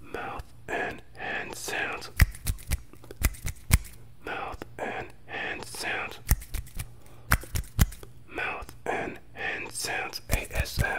Mouth and hand sounds. Mouth and hand sounds. Mouth and hand sounds. ASMR.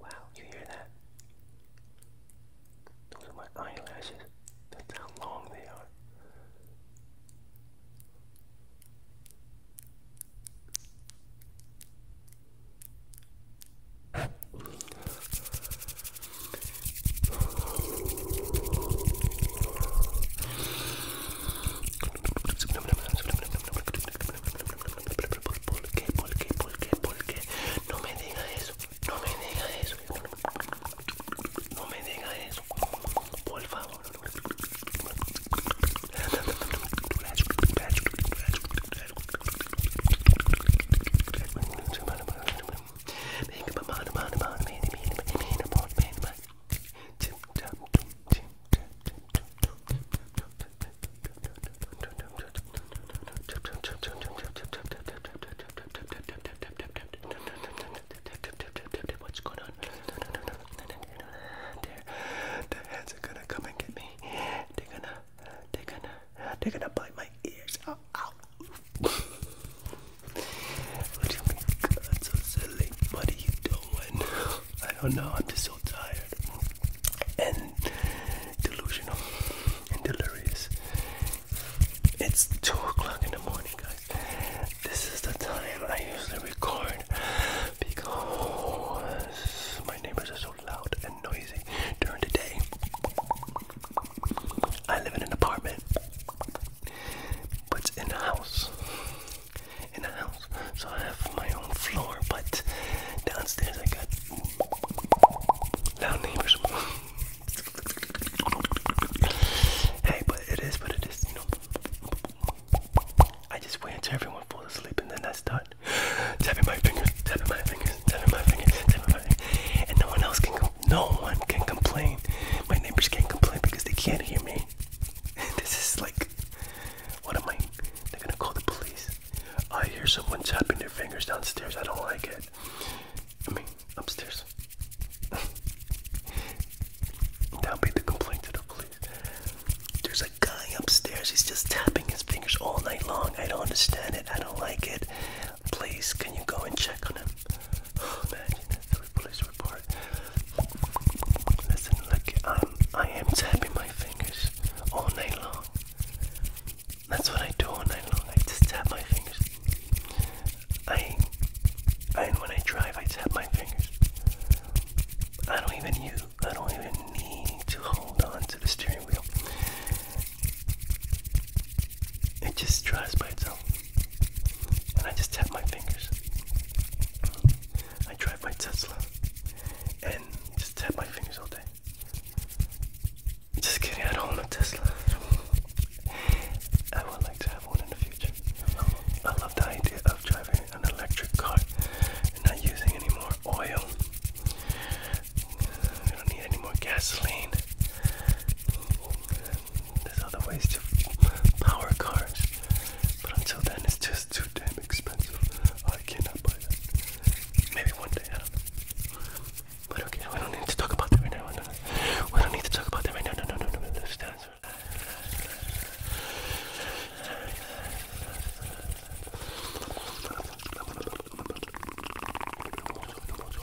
Wow, you hear that? Those are my eyelashes. That's how long they are. ¿Por qué? ¿Por qué? ¿Por qué? ¿Por qué? No me diga eso. No me diga eso. No me diga eso. Por favor. What's going on? hands are gonna come and get me. They're gonna, they're gonna, they're gonna bite my ears. Ow, what do you mean? That's so silly. What are you doing? I don't know. I'm just so tired and delusional and delirious. It's two o'clock in the morning, guys. This is the time I usually record because my neighbors are so loud and noisy during the day. I live in an apartment, but in a house. In a house. So I have my own floor, but downstairs I got loud neighbors. hey, but it is what it is, you know. I just wait until everyone falls asleep and then I start tapping my fingers, tapping my fingers, tapping my fingers, tapping my fingers, and no one else can go no one can complain. My neighbors can't complain because they can't hear me. this is like, what am I? They're gonna call the police. I hear someone tapping their fingers downstairs. I don't like it. I mean, upstairs. That'll be the complaint to the police. There's a guy upstairs. He's just tapping his fingers all night long. I don't understand it. I don't like it. Please, can you go and check on him? Listen, look, I'm, tapping my fingers all night long. That's what I do all night long. I just tap my fingers. I, and when I drive, I tap my fingers. I don't even need to hold on to the steering wheel. It just drives by itself and I just tap my fingers. I drive my Tesla and just tap my fingers all day. Just kidding, I don't own a Tesla. I would like to have one in the future. I love the idea of driving an electric car and not using any more oil. We don't need any more gasoline. There's other ways to power cars, but until then, it's just too damn expensive. I cannot buy that. Maybe one day, I don't know. we don't need to talk about that right now. We don't need to talk about that right now. No, no, no, no, no. Just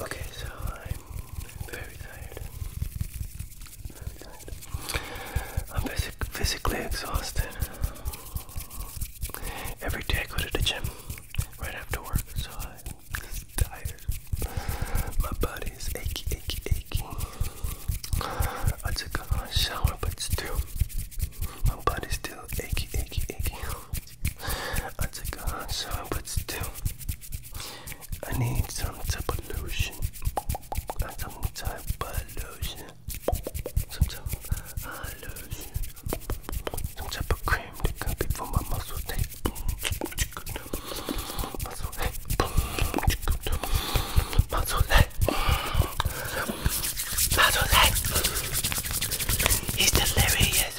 Okay, so I'm very tired. I'm physically exhausted. Every day I go to the gym right after work, so I'm tired. My body is aching, aching, aching. I took a shower, but still, my body's still aching, aching, aching. I took a hot shower, but still, I need some type of lotion. Not some type of lotion. Some type of uh, lotion. Some type of cream that can be for my muscle tape. Muscle tape. Muscle tape. Muzzle head. He's delirious.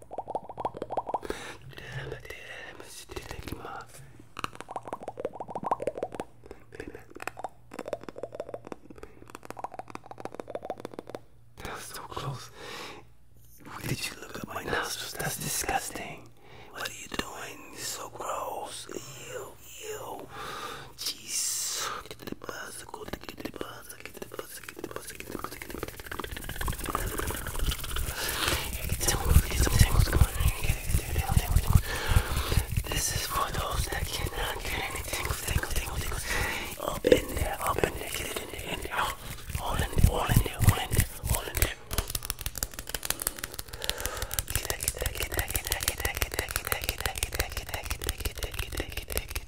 That was so close. Did you look at my nostrils? That's disgusting. What are you doing? It's so gross. Ew, ew. Jeez. This is for those that cannot get anything. Tingle, tingle, tingle. Up in there, up in there, get it in there, in there. All in there, all in there, all in there, all in there. Get that, get that, get that, get that, get that, get that, get that, get that, get that, get that, get that, get that, get that, get that, get that, get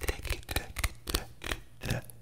that, get that.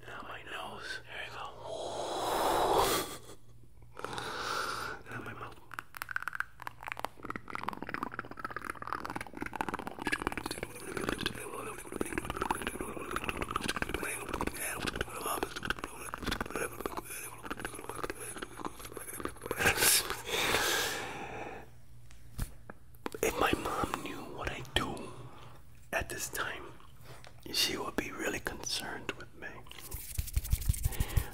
and out my nose. There you go. and out my mouth if my mom knew what I do at this time, she would be really concerned with me.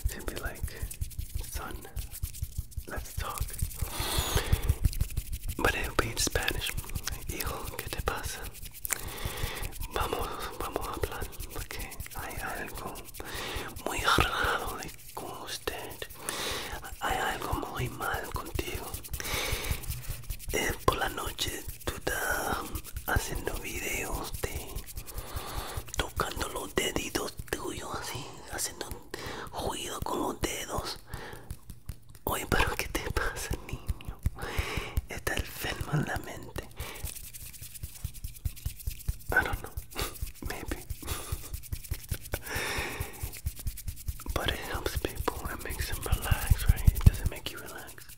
she be like, son, let's talk. But it'll be in Spanish. ¿qué te pasa? Vamos, vamos a hablar, porque hay algo muy raro con usted. Hay algo muy mal contigo. por la noche tú estás haciendo videos de tocando los deditos tuyos así, haciendo ruido con los dedos. Oye, pero ¿qué te pasa, niño? Está enfermo en la mente. I don't know, maybe. But it helps people. It makes them relax, right? Does it make you relax?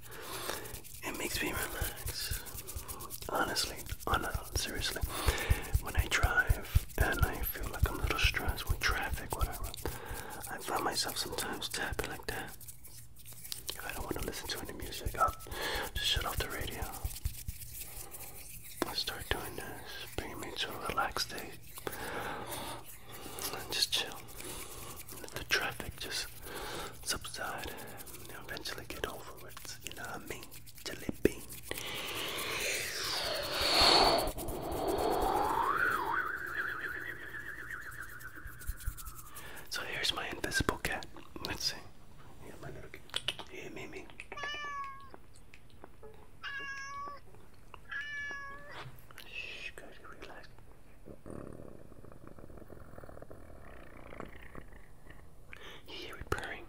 It makes me relax. Honestly, on seriously, when I drive and I feel like I'm a little stressed with traffic, whatever, I find myself sometimes tapping like that. If I don't want to listen to any music, I'll just shut off the radio. I start doing this, bringing me to a relaxed state just chill. Let the traffic just subside and eventually get over it. You know what I mean? Jelly bean. So here's my invisible cat. Let's see. Yeah, Mimi. Shh, good, relax. You hear it purring.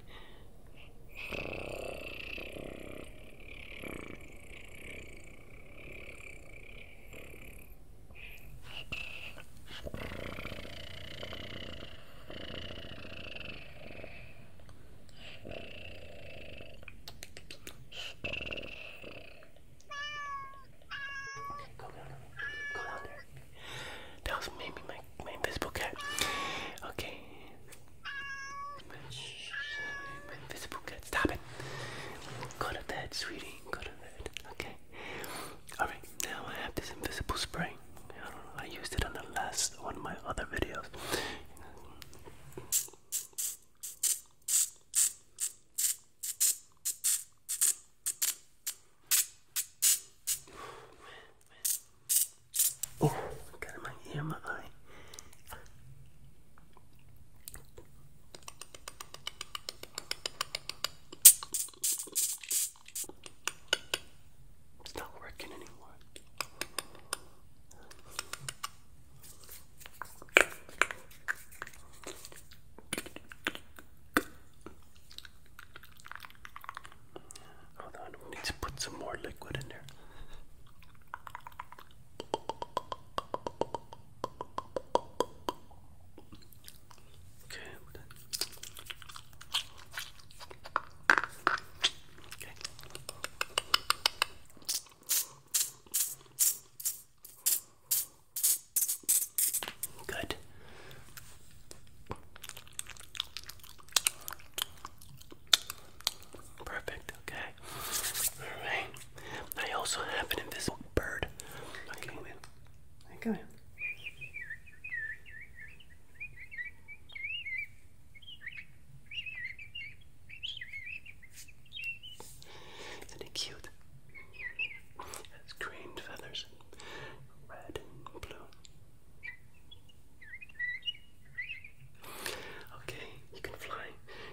Go down, go down there. That was maybe my my invisible cat. Okay. invisible cat. Stop it. Go to bed, sweetie. Go to bed. Okay. All right. Now I have this invisible spray. I used it on the last one of my other videos. Oh, got in my ear, my eye. It's not working anymore. Hold on, we need to put some more liquid in there. Okay, we're Okay. Good. Perfect, okay. Alright. I also have an invisible bird. Okay. Go isn't it cute? It's green feathers, red blue. Okay, you can fly.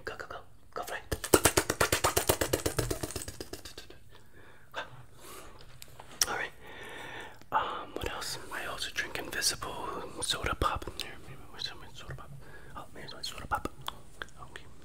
Go, go, go. Go fly. Alright. Um, what else? I also drink invisible soda pop. Here, maybe where's my soda pop? Oh, maybe my soda pop. Okay.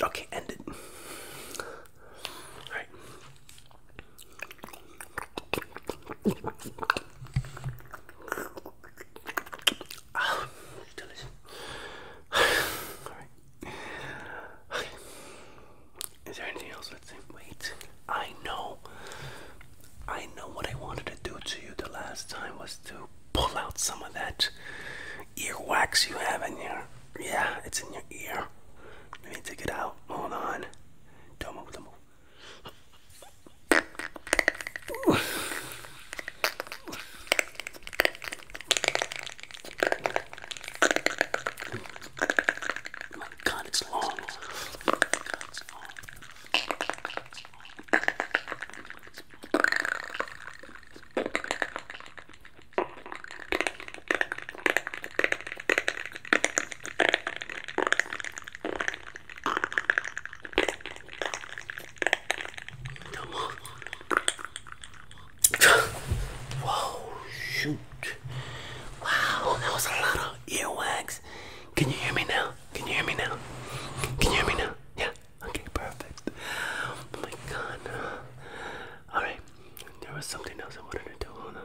Okay, end it. All right. Oh, it's delicious. All right. Okay. Is there anything else? I can Wait. I know. I know what I wanted to do to you the last time was to pull out some of that ear wax you have in your. Yeah, it's in your ear. Let me take it out. Hold on. Don't move, don't move. My God, it's long. My God, it's long. Whoa, shoot. Wow, that was a lot of earwax. Can you hear me now? Can you hear me now? Can you hear me now? Yeah. Okay, perfect. Oh my god. Alright, there was something else I wanted to do. Hold on.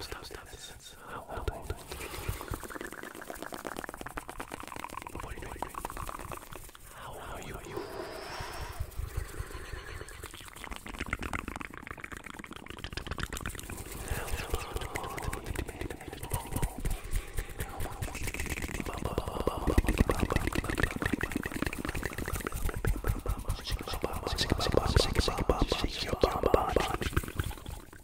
stop, stop this. How old are you? What are you doing? How old are you? Are you? Shake your bum, bum, bum,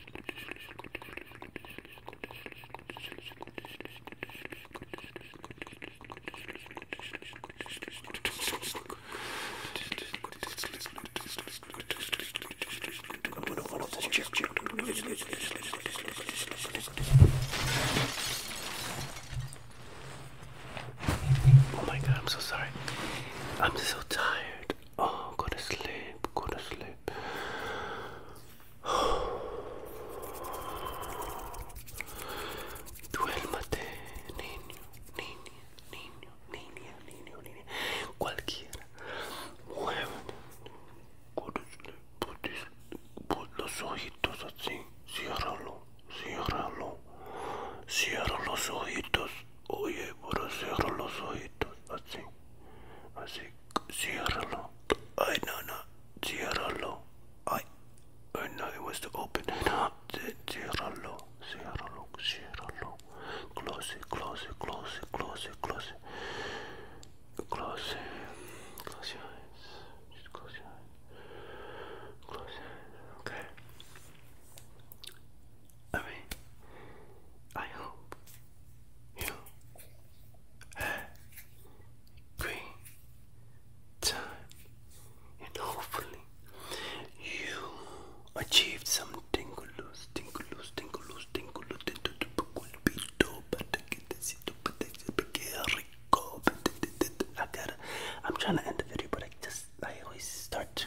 Oh my god, I'm so sorry. I'm so tired. Oh, go sleep, go to sleep. niño, niña, niño, niña, niño, niña. Cualquiera. mueve. Go sleep, los ojitos así. Ciérralo, ciérralo. Cierra los ojitos. Oye, pero cierra los ojitos así. Así, ciérralo. Ay, no, no, ciérralo. Ay, oh, no, it was to open. No, ciérralo, ciérralo, ciérralo. Close it, close it, close it, close it, close it. Close it. Close your eyes. Just close your eyes. Close your eyes. Okay. I mean, I hope you had great time and hopefully you achieved some tingles, tingles, tingles, tingles, I gotta, I'm trying to end the video, but I just, I always start to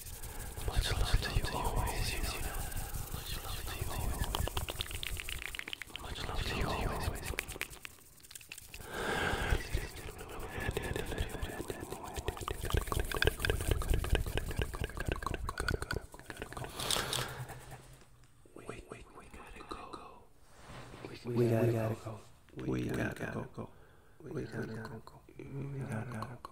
Much love to you always, you know that. Much love to you always. Much love to you always. Wait, wait, we gotta go. We, we, we gotta, gotta go. go. We, we gotta, gotta go. go. We, we gotta, gotta go. go. We gotta go. go.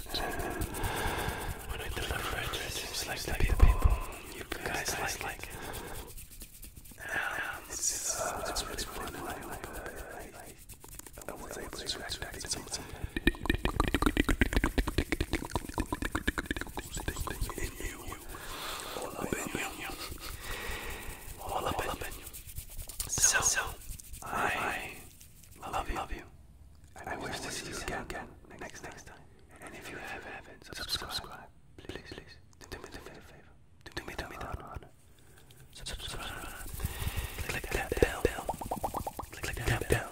When I deliver it, like the people. You guys like it. Uh, it's really fun. I was able to attract some in you. All Love, love, you. love you. I, I wish, wish to see you again, again next, next time. And if you ever haven't, subscribe. subscribe. Please, please. Do me, do me the favor. Do me, do me the honor. Subscribe. Click that bell. Click that bell.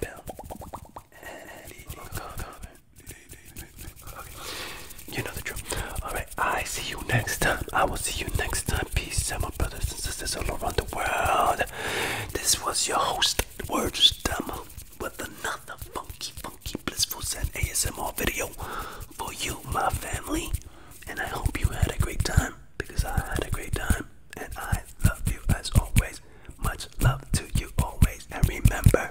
You know the drill. Alright, I see you next time. I will see you next time. Peace out, my brothers and sisters all around the world. This was your host, Words Dumble, with another funky, funky, blissful Zen ASMR video for you, my family. And I hope you had a great time because I had a great time. And I love you as always. Much love to you always. And remember,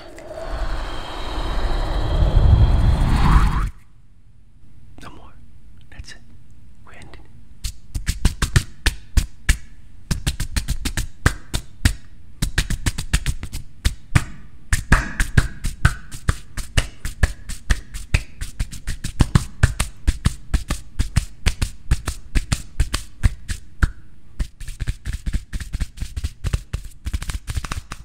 No more. That's it. We're ending.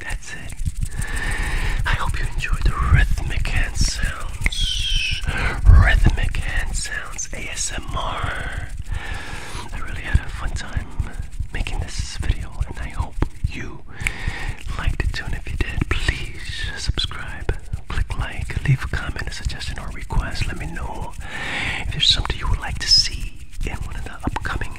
That's it. I hope you enjoyed the rhythmic hand sounds. Rhythmic hand sounds ASMR. I really had a fun time making this video, and I hope you liked it too. if you did, please subscribe, click like, leave a comment, a suggestion, or a request. Let me know if there's something you would like to see in one of the upcoming